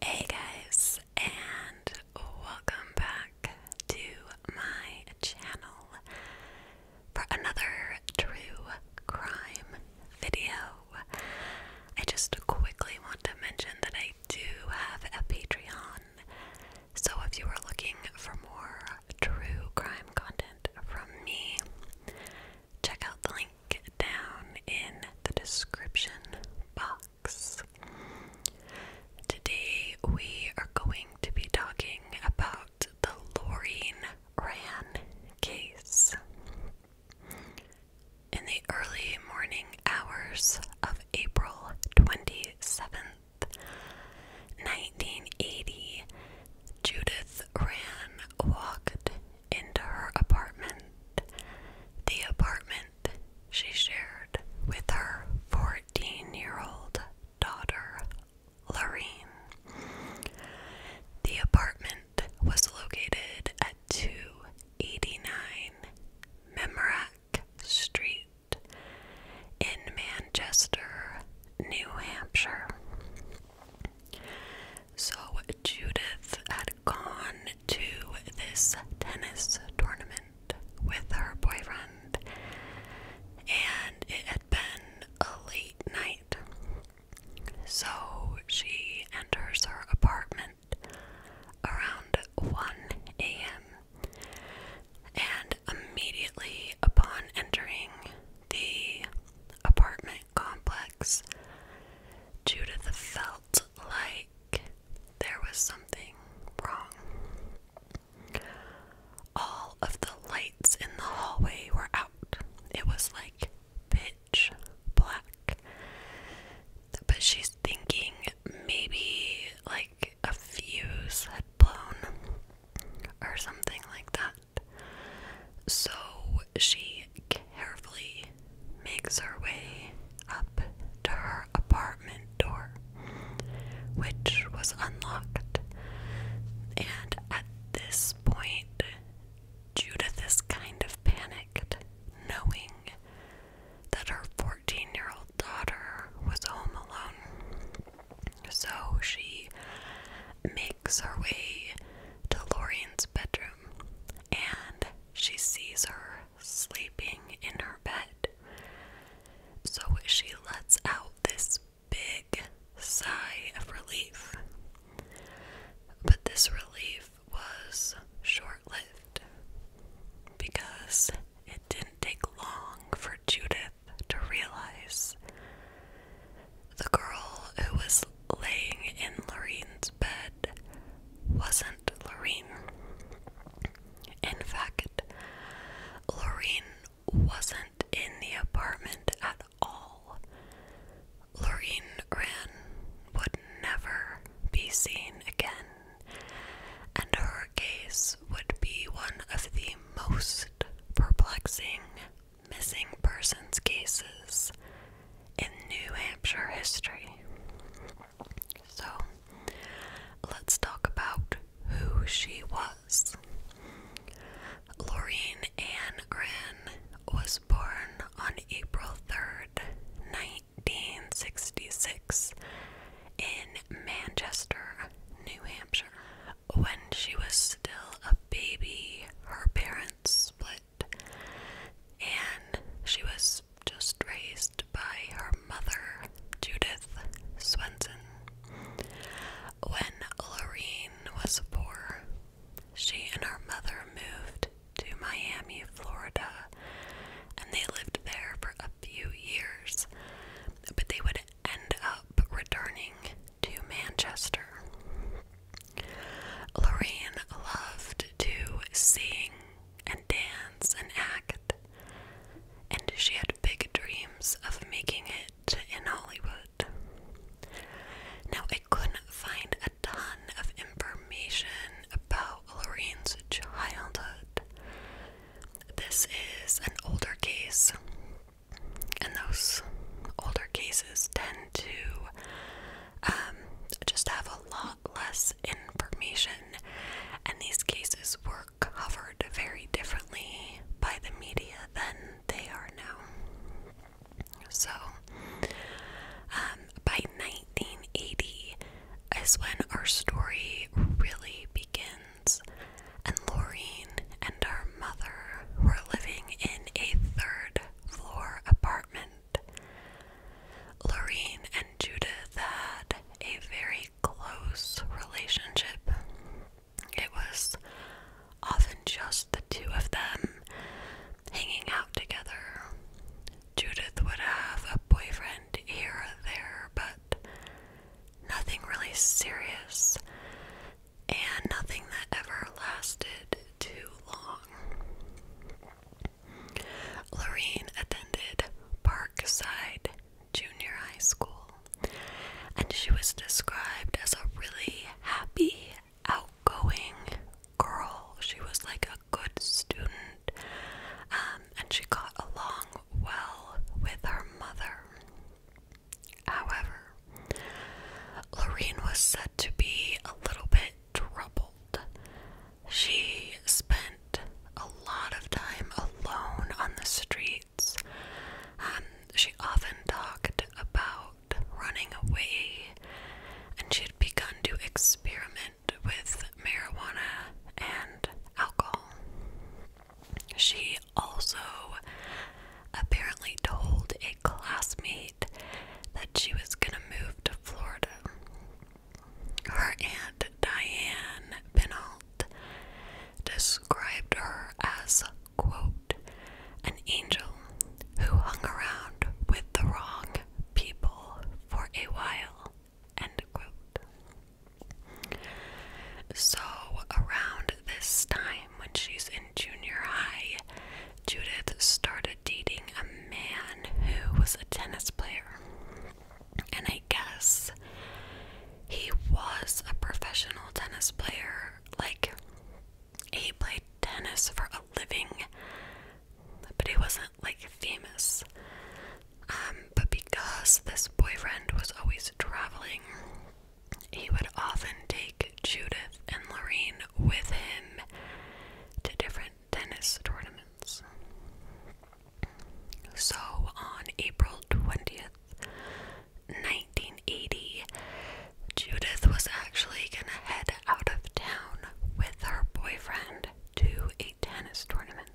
Hey guys, and welcome back to my channel for another true crime video. I just quickly want to mention that I do have a Patreon, so if you are looking for more true crime content from me, check out the link down in the description box. Today we are going to be talking about the Lorraine Ran case. In the early morning hours of April 27th, 1980, Judith Ran walked into her apartment, the apartment she shared with her 14 year old daughter, Lorraine. The apartment was located at 289 Memorack Street. In Manchester, New Hampshire. So Judith had gone to this tennis tournament with her boyfriend, and it had been a late night. So she enters her apartment around 1 a.m. And immediately upon entering the apartment complex, Judith felt like there was something wrong. All of the lights in the hallway were out. It was like pitch black. But she's thinking maybe like a fuse had blown or something like that. So she carefully makes her way up to her apartment door, which was unlocked. And at this point, Judith is kind of panicked, knowing that her 14 year old daughter was home alone. So she makes her way to Lorian's bedroom and she sees her sleeping in her bed. So she lets out this big sigh of relief. But this relief was short lived because it didn't take long for Judith to realize the girl who was laying in Lorraine's Lorraine's wasn't Lorraine. In fact, Lorraine wasn't in the apartment at all. Lorraine Wren would never be seen again, and her case would be one of the most perplexing missing persons cases in New Hampshire history. So, let's talk about who she was. Laurine Ann Wren was born on April 3rd, 1966, in Manchester, New Hampshire. When she was still a baby, her parents split and she was just raised by her mother, Judith Swenson. When Lorene was born, she and her mother moved to Miami, Florida, and they lived there for a few years, but they would end up returning to Manchester. Lorraine loved to sing and dance and act, and she had big dreams of making it in Hollywood. Now, I couldn't find a ton of information about Lorraine's childhood. This is an older case, and those older cases tend to um, just have a a lot less information, and these cases were covered very differently by the media than they are now. So, um, by 1980 is when our story really begins, and Laureen and our mother were living in a third floor apartment Lorraine and Judith had a very close relationship. It was often just the two of them hanging out together. Judith would have a boyfriend here or there, but nothing really serious and nothing that ever lasted too long. Lorene attended Parkside Junior High School, and she was described as a really happy, outgoing girl. She was like a good student, um, and she got along well with her mother. However, Lorene was said to be a little bit troubled. She spent a lot of time alone on the streets. Um, she often talked about running away, and she had begun to experiment with marijuana and alcohol. She also apparently told a classmate that she was going to move to Florida. Her aunt Diane Penault described her as, quote, an angel who hung around with the wrong people for a while, end quote. So, around this time, when she's in junior high, Judith started dating a man who was a tennis player. And I guess he was a professional tennis player. Like, he played tennis for a living, but he wasn't like famous. Um, but because this boyfriend was always traveling, he would often take Judith and Lorraine with him to different tennis tournaments. So on April 20th, 1980, Judith was actually gonna head out of town with her boyfriend to a tennis tournament.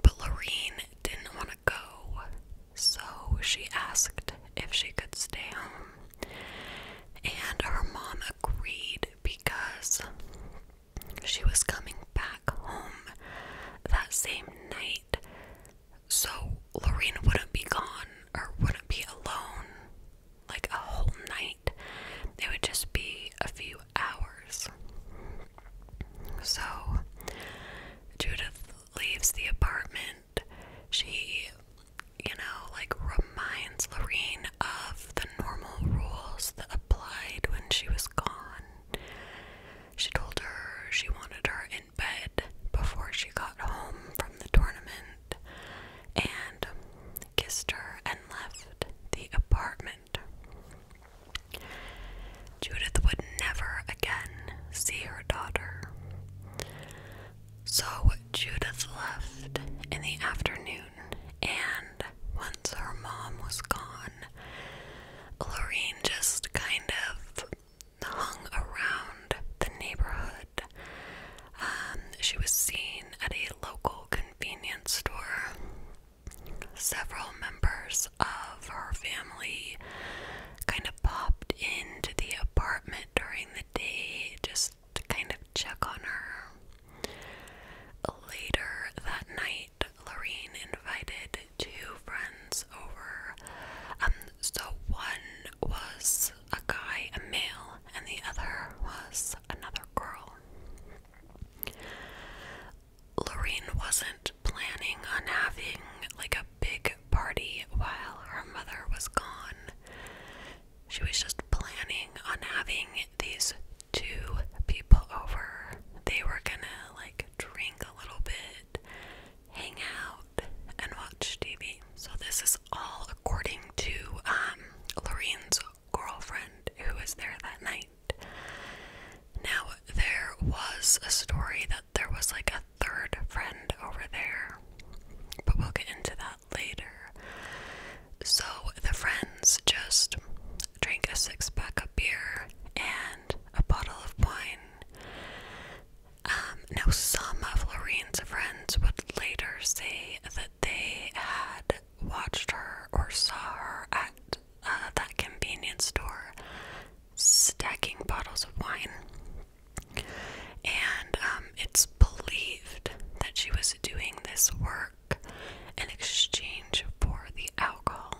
But Lorene didn't want to go, so she asked if she could stay home. And her mom agreed because she was coming back home that same night. So Lorraine wouldn't be gone or wouldn't be alone like a whole night. It would just be a few hours. So Judith leaves the apartment. She you know, like reminds Lorene of the normal rules that applied when she was gone. She told her she wanted her in bed before she got home from the tournament and kissed her and left the apartment. Judith would never again see her daughter. So Judith left in the afternoon, and once her mom was gone, Lorraine just kind of hung around the neighborhood. Um, she was seen at a local convenience store. Several members of her family kind of popped into the apartment during the day, just to kind of check on her. Later that night, Lorraine invited two friends over. Um, so one was a guy, a male, and the other was another girl. Lorraine wasn't planning on having like a big party while her mother was gone. She was just planning on having these two people over. They were gonna like drink a little bit, hang out, and watch TV. So, this is all according to um, Lorraine's girlfriend who was there that night. Now, there was a story that there was like a third friend over there, but we'll get into that later. So the friends just drank a six pack of beer and a bottle of wine. Um, now, some of Lorraine's friends would later say that they had watched her or saw her at uh, that convenience store stacking bottles of wine and um, it's believed that she was doing this work in exchange for the alcohol.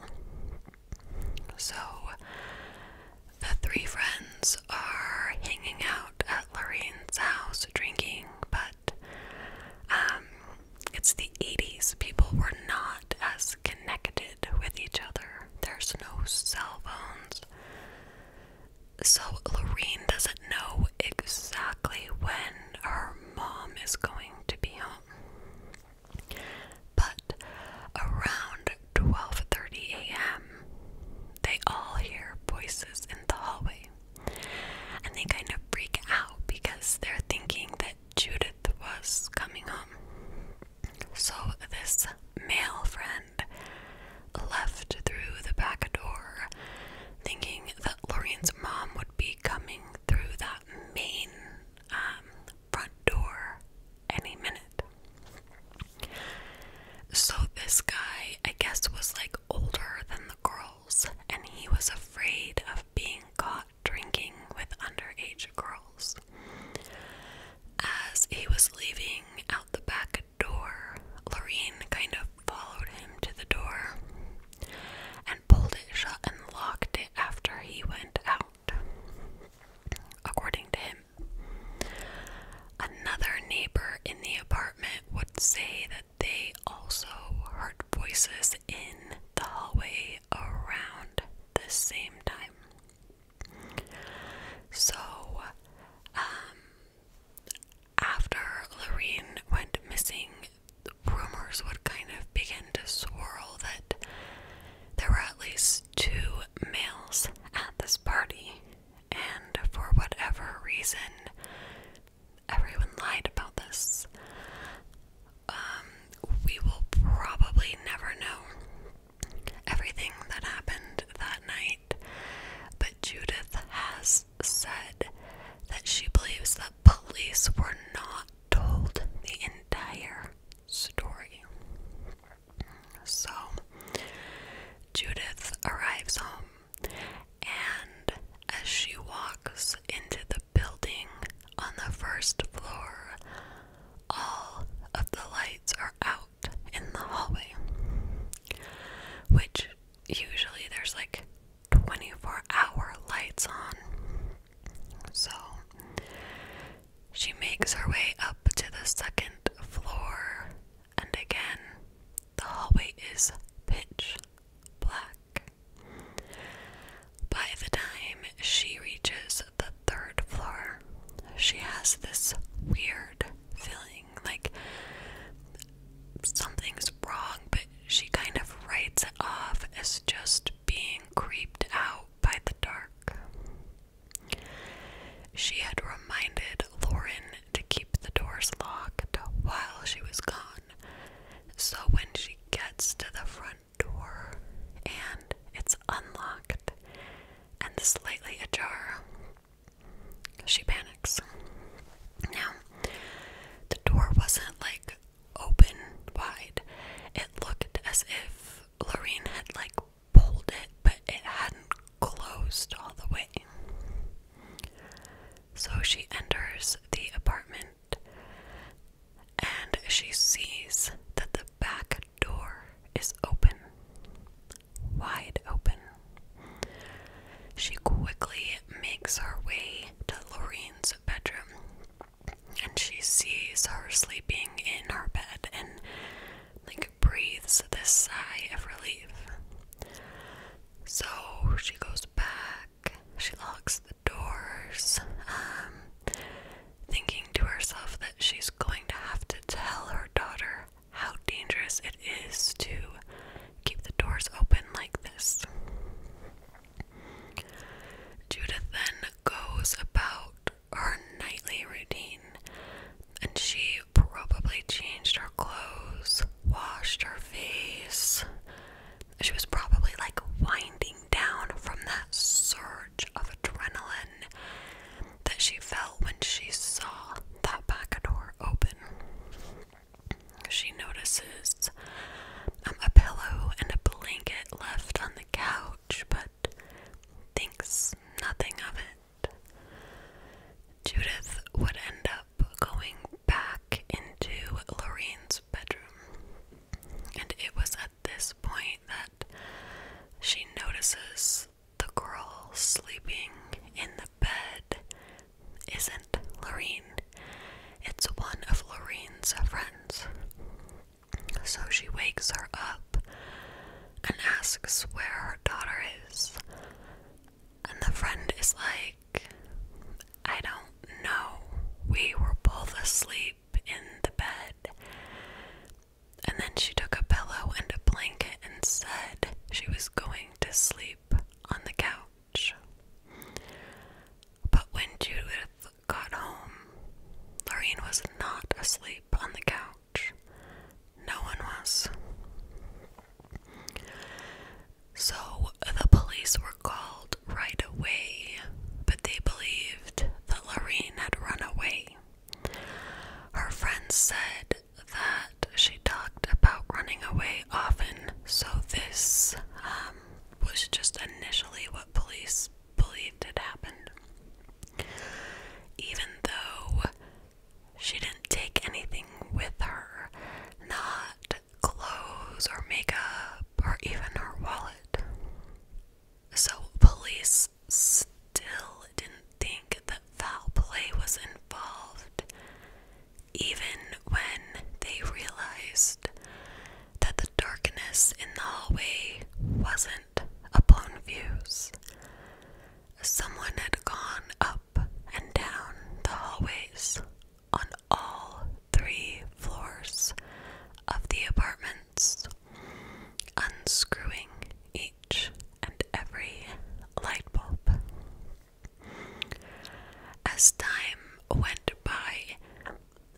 So the three friends are hanging out at Lorraine's house drinking, but um, it's the 80s. People were not as connected with each other. There's no cell phones. So Lorene doesn't know exactly when her mom is going to be home. But around 12:30 a.m., they all hear voices in the hallway. And they kind of freak out because they're thinking that Judith was coming home. So this male friend left through the back door, thinking that Lorian's mom would be coming through that main um, front door any minute. So, this guy, I guess, was like older than the girls, and he was afraid of being caught drinking with underage girls. As he was leaving out the back door. Lorraine kind of followed him to the door and pulled it shut and locked it after he went out, according to him. Another neighbor in the apartment would say that they also heard voices in the hallway around the same time. So, um, after Lorene went missing, rumors would kind of begin to swirl that there were at least two males at this party, and for whatever reason, everyone lied about this. Um, we will probably never know everything that happened that night, but Judith has said that she believes that police were not told the entire story. So, Judith arrives home, and as she walks into the building on the first floor, all of the lights are out in the hallway, which usually there's like 24 hour lights on. So she makes her way up to the second floor, and again, the hallway is pitch black. By the time she reaches the third floor, she has this weird feeling like something's wrong, but she kind of writes it off as just being creeped out by the dark. She had reminded Lauren to keep the doors locked while she was gone, so when she gets to the front door and it's unlocked and slightly ajar, she panics. Now, the door wasn't like open wide. It looked as if Lorraine had like pulled it, but it hadn't closed all the way. So she enters the apartment and she sees that the back door is open wide open. She quickly makes her way to Lorraine's bedroom and she sees her sleeping in her bed and like breathes this sigh of relief. So she goes back, she locks the doors, um, thinking to herself that she's going to have to tell her daughter how dangerous it is to keep the doors open like this. Judith then goes about her nightly routine, and she probably changed her clothes, washed her face. She was probably like winding down from that surge of adrenaline that she felt when she saw that back door open. She notices um, a pillow and a blanket left on the couch, but thinks nothing of it. Judith would end up going back into Lorraine's bedroom, and it was at this point that she notices the girl sleeping in the bed isn't Lorene, it's one of Lorene's friends. So she wakes her up and asks where her daughter is. And the friend is like, I don't know. We were both asleep in the bed. And then she took a pillow and a blanket and said she was going to sleep on the couch. But when Judith got home, Lorraine was not asleep on the couch. No one was. So the police were called right away, but they believed that Lorraine had run away. Her friends said that she talked about running away often, so this um, was just initially what police believed had happened. Even though she didn't take anything with her, not clothes or makeup or even her wallet. So, police still didn't think that foul play was involved, even when they realized that the darkness in the hallway wasn't a blown fuse. Someone had gone up and down the hallways on all three floors of the apartments, unscrewing each and every light bulb. As time went by,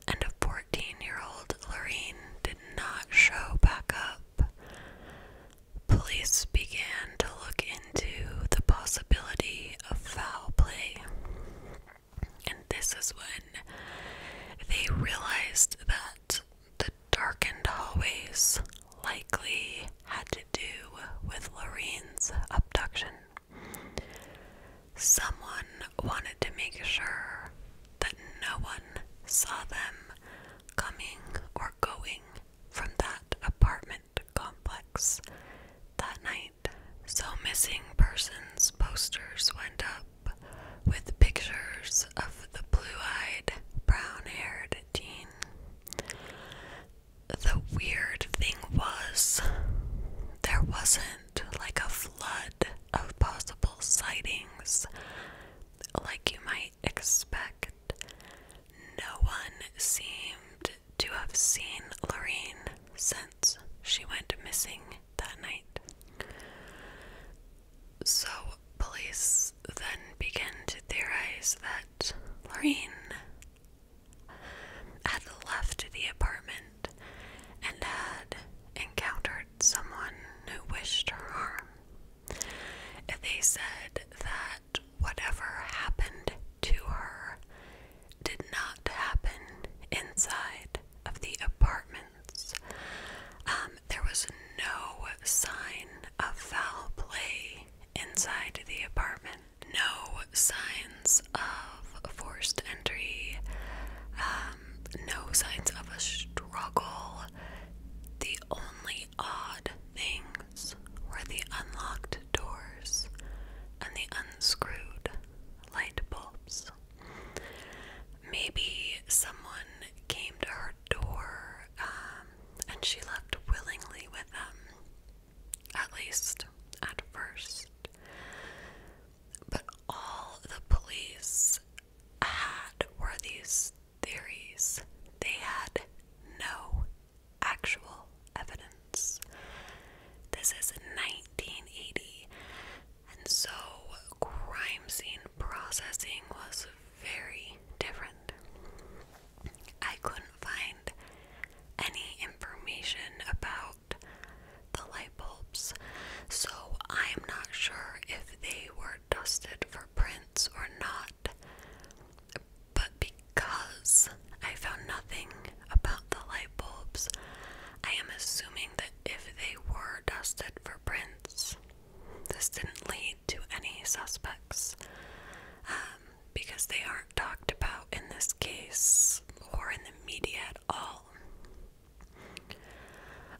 and a 14 year old Lorraine did not show back up, police began to look into the possibility of foul play. And this is when they realized that the darkened hallways likely had to do with Lorene's abduction. Someone wanted to make sure that no one saw them coming or going from that apartment complex that night. So, missing persons posters went up with pictures of the blue eyed, brown haired teen the weird thing was, there wasn't like a flood of possible sightings like you might expect. No one seemed to have seen Lorraine since she went missing that night. So, police then began to theorize that Lorraine had left the apartment and had encountered someone who wished her harm. They said that whatever happened to her did not happen inside of the apartments. Um, um, there was no sign of foul play inside the apartment, no signs of forced entry, um, no signs of a struggle. The only odd things were the unlocked doors and the unscrewed light bulbs. Maybe someone came to her door um, and she left willingly with them, at least at first. But all the police had were these theories. They had no actual evidence. This is 1980, and so crime scene processing was very different. I couldn't find any information about the light bulbs, so I'm not sure if they were dusted for prints or not. But because I found nothing about the light bulbs, I am assuming that if they were dusted for prints, this didn't lead to any suspects um, because they aren't talked about in this case or in the media at all.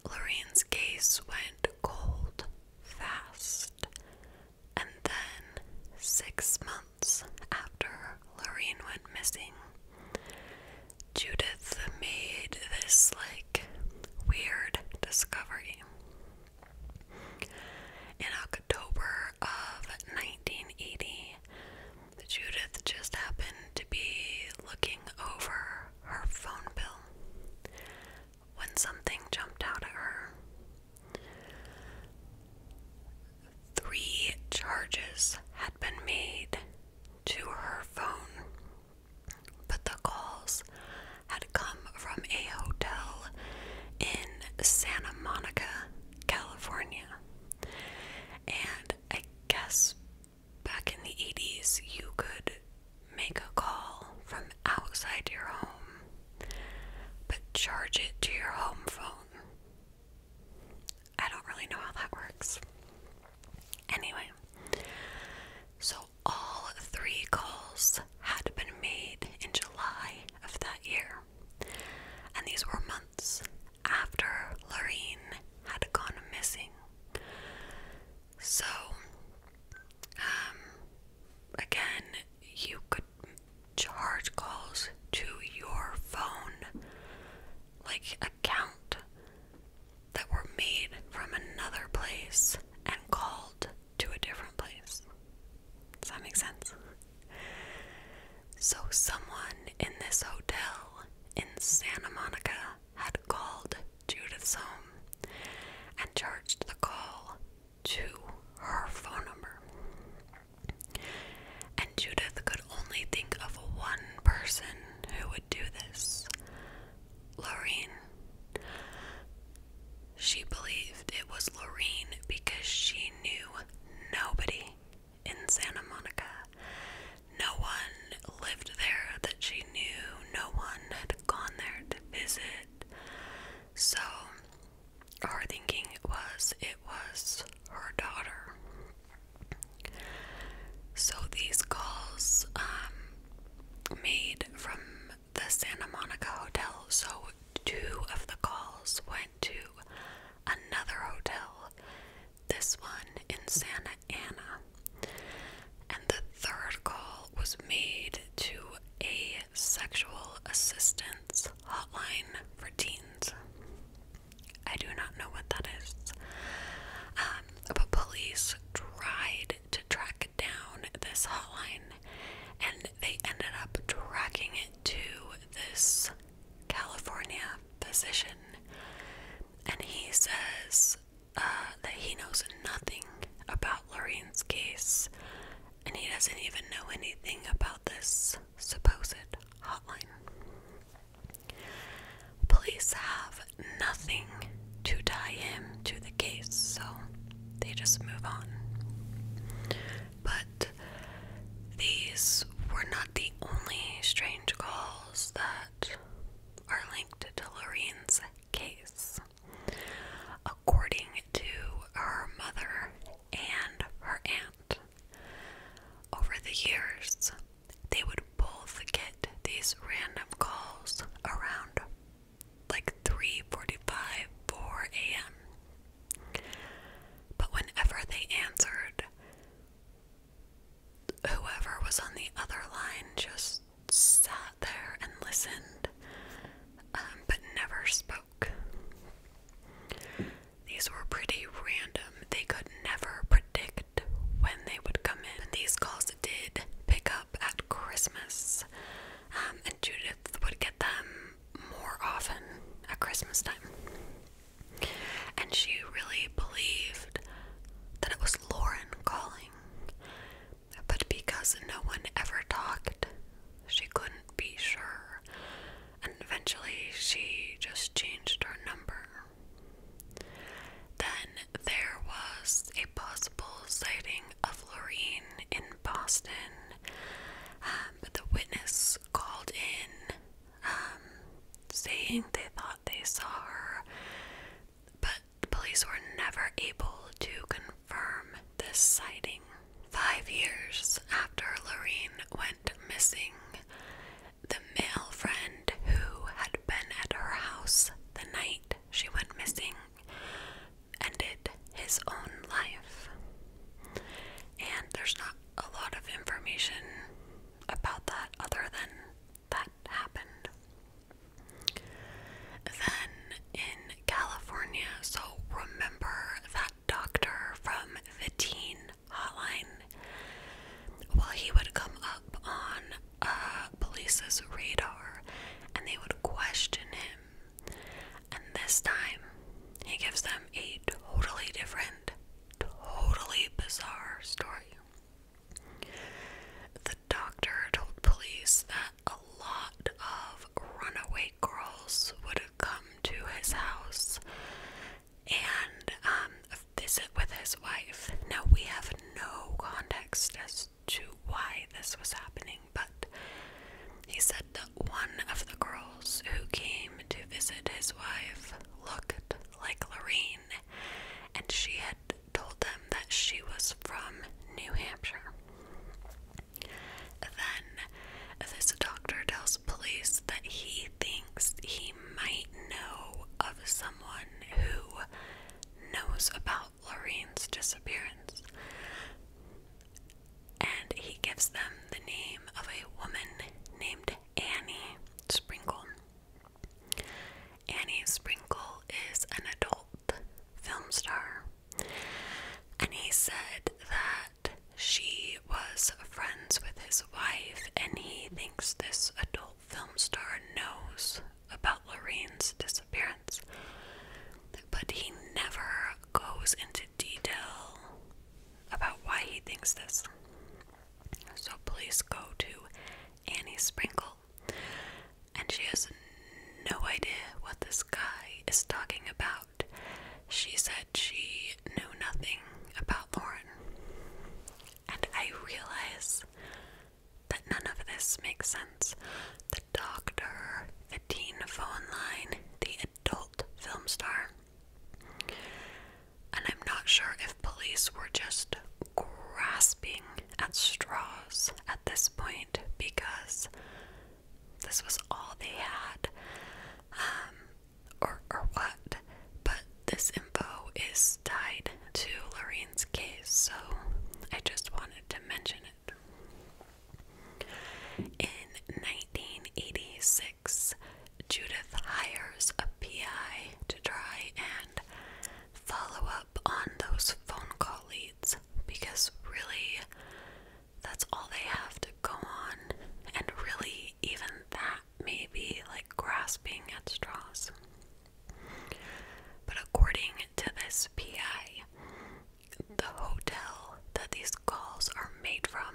Lorraine's case went cold fast, and then six months after Lorraine went missing, Judith made this like weird discovery. In October of 1980, Judith just happened to be looking over her phone bill when something jumped out at her. Three charges had been made to her phone but the calls had come from a hotel in Santa Monica, California. And I guess back in the 80s, you could make a call from outside your home, but charge it to your home phone. I don't really know how that works. Anyway, so all three calls had been made in July of that year, and these were months after Lorraine had gone missing. So, um, again, you could charge calls to your phone, like account that were made from another place and called to a different place. Does that make sense? So, someone in this hotel in Santa Monica had called Judith's home and charged the call to her phone number. And Judith could only think of one person who would do this Lorraine. She believed it was Lorraine because she knew nobody in Santa Monica. No one lived there that she knew, no one had gone there to visit. So, our thinking was it was her daughter. So, these calls um, made from the Santa Monica Hotel, so two of the calls went to another hotel, this one in Santa Ana. And the third call was made to a sexual assistance hotline for teens. I do not know what that is. Um, but police tried to track down this hotline, and they ended up tracking it to this California physician. And he says uh, that he knows nothing about Lorraine's case, and he doesn't even know anything about this supposed hotline. Police have nothing to tie him to the case, so they just move on. But these were not the only strange calls that are linked to Lorraine's case. According to her mother and her aunt, over the years, they would both get these random calls around like 3:45, 4 a.m. But whenever they answered, whoever was on the other line just sat there and listened, um, but never spoke. These were pretty random. They could never predict when they would come in. These calls did pick at Christmas, um, and Judith would get them more often at Christmas time. And she really believed that it was Lauren calling, but because no one ever talked, she couldn't be sure. And eventually she just changed her number. Then there was a possible sighting of Lorraine in Boston. Um, but the witness called in um, saying they thought they saw her, but the police were never able to confirm this sighting. Five years after Lorraine went missing, the male friend who had been at her house the night she went missing ended his own life. And there's not a lot of information about that other than that happened. Then in California, so remember that doctor from the teen hotline? Well, he would come up on uh, police's radar and they would question him. And this time, he gives them a totally different, totally bizarre story. The doctor told police that a lot of runaway girls would have come to his house and um, visit with his wife. Now, we have no context as to why this was happening, but he said that one of the girls who came to visit his wife looked like Lorraine, and she had told them that she was from New Hampshire. Then this doctor tells police that he thinks he might know of someone who knows about Lorraine's disappearance. And he gives them the name of a woman named Annie Sprinkle. Annie Sprinkle is an adult film star. And he said that she was friends with his wife, and he thinks this adult film star knows about Lorraine's disappearance, but he never goes into detail about why he thinks this. So please go to Annie Sprinkle, and she has no idea what this guy is talking about. She said she knew nothing about Lauren. And I realize that none of this makes sense. The doctor, the teen phone line, the adult film star. And I'm not sure if police were just grasping at straws at this point because this was all they had. Um, or, or what, but this info is tied to Lorraine's case, so I just wanted to mention it. In 1986, Judith hires a PI to try and follow up on those phone call leads because really that's all they have to go on, and really, even that may be like grasping at straws. But according to this PI, the hotel that these calls are made from.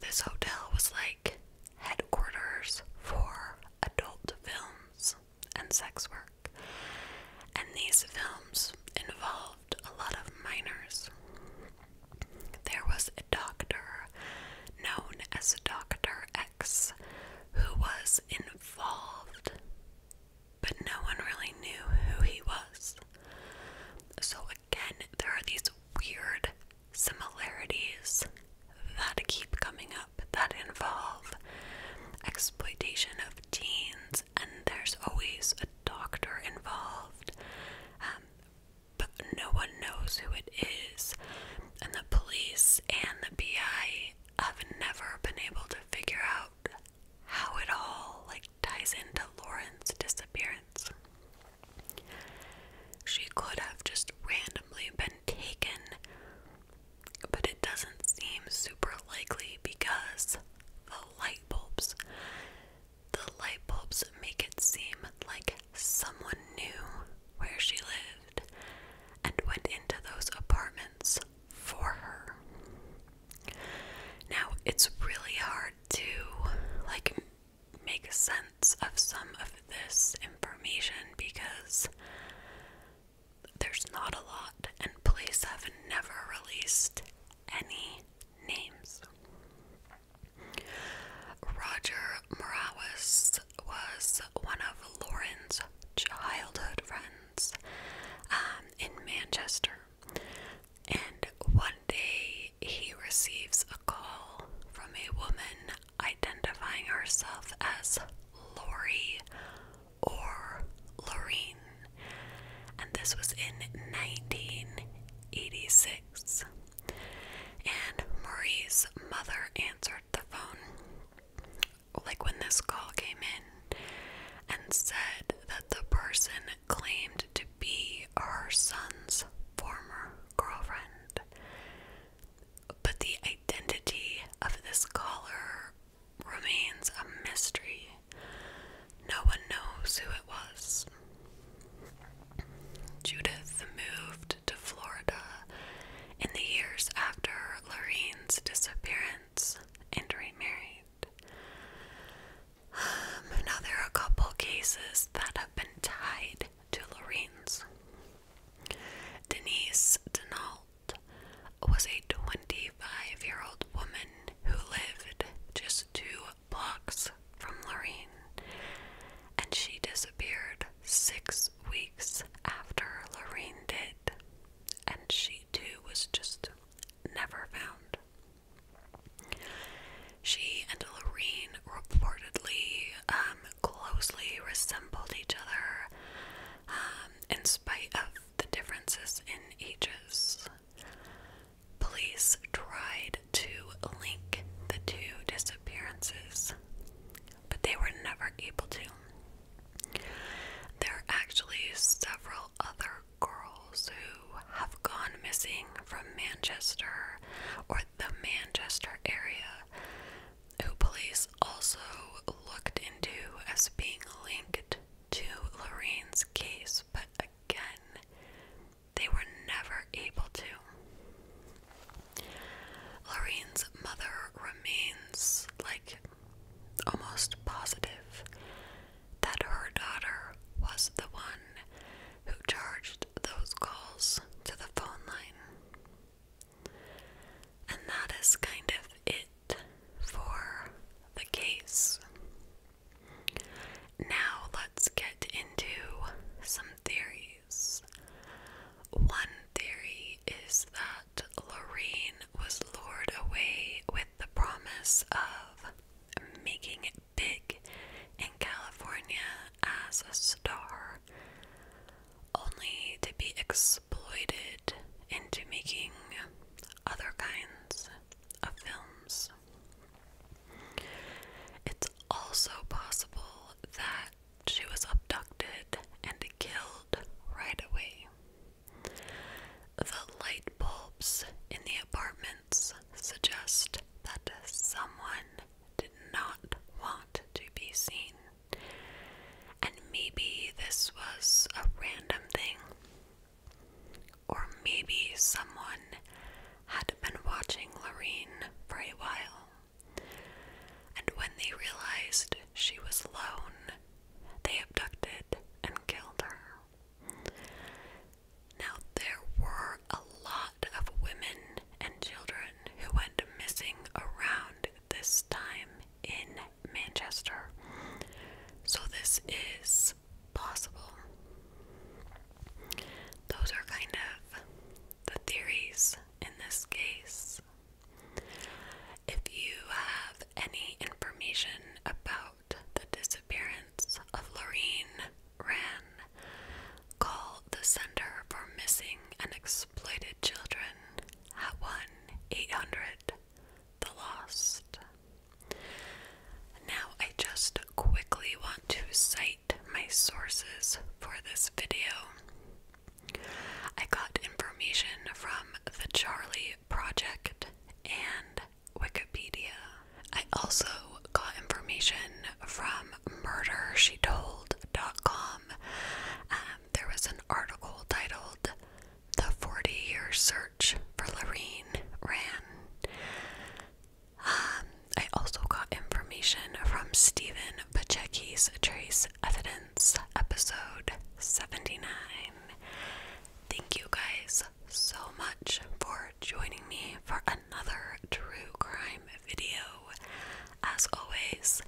This hotel was like headquarters for adult films and sex work, and these films involved a lot of minors. There was a doctor known as Dr. X who was involved, but no one really knew who he was. So, again, there are these weird similarities that keep coming up that involve exploitation of teens, and there's always a doctor involved, um, but no one knows who it is and the police and the BI have never been able to figure out how it all like ties into Lauren's disappearance. She could have just randomly been taken, but it doesn't seem super likely because the light bulbs the light bulbs make it seem like someone knew where she lived and went into those apartments for her. Now, it's really hard to like make sense of some of this information because there's not a lot, and police have never released any names. Roger Morales was one of Lauren's childhood friends um, in Manchester. And one day he receives a call from a woman identifying herself as Lori or Loreen. And this was in 1986. And Marie's mother answered the phone, like when this call came in, and said that the person claimed to be her son's former girlfriend. But the identity of this caller remains a mystery. No one knows who it was. Judith moved to Florida in the years after Lorraine's disappearance and remarried. another um, now, there couple cases that have been tied to Lorraine's. Denise Denault was a 25 year old woman who lived just two blocks from Lorraine, and she disappeared six weeks after Lorraine did, and she too was just never found. She and Lorraine reportedly um, closely resembled each other um, in spite of the differences in ages. Police tried to link the two disappearances, but they were never able to. There are actually several other girls who have gone missing from Manchester or the Manchester area who police also looked into as being linked to Lorraine's case, but again, they were never able to. Lorene's mother remains, like, almost positive that her daughter was the one who charged those calls to the phone line. And that is kind of it for the case. Now let's get into some theories. One theory is that Lorraine was lured away with the promise of making big in California as a star, only to be exploited into making other kinds of films. It's also possible that she was abducted and killed right away. The light bulbs in the apartments suggest that someone did not want to be seen. And maybe this was a random thing. Or maybe someone had been watching Lorraine for a while. And when they realized she was alone, they abducted and killed her. Now, there were a lot of women and children who went missing around this time in Manchester, so this is possible. Those are kind of the theories in this case. If you have any information about the disappearance of Lorene Ran, call the Center for Missing and Exploited Children at 1 800 The Lost. Now, I just quickly want to cite my sources for this video. I got information from the Charlie Project and Wikipedia. I also got information from MurderSheTold.com. Um, there was an article titled The 40 Year Search for Lorene Ran. Um, I also got information from Stephen Pacheco's Trace Evidence, episode 79. Thank you guys so much for joining me for another true crime video. As always,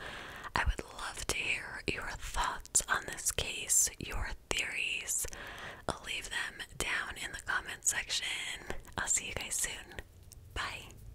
I would love to hear your thoughts on this case, your theories. I'll leave them down in the comment section. I'll see you guys soon. Bye.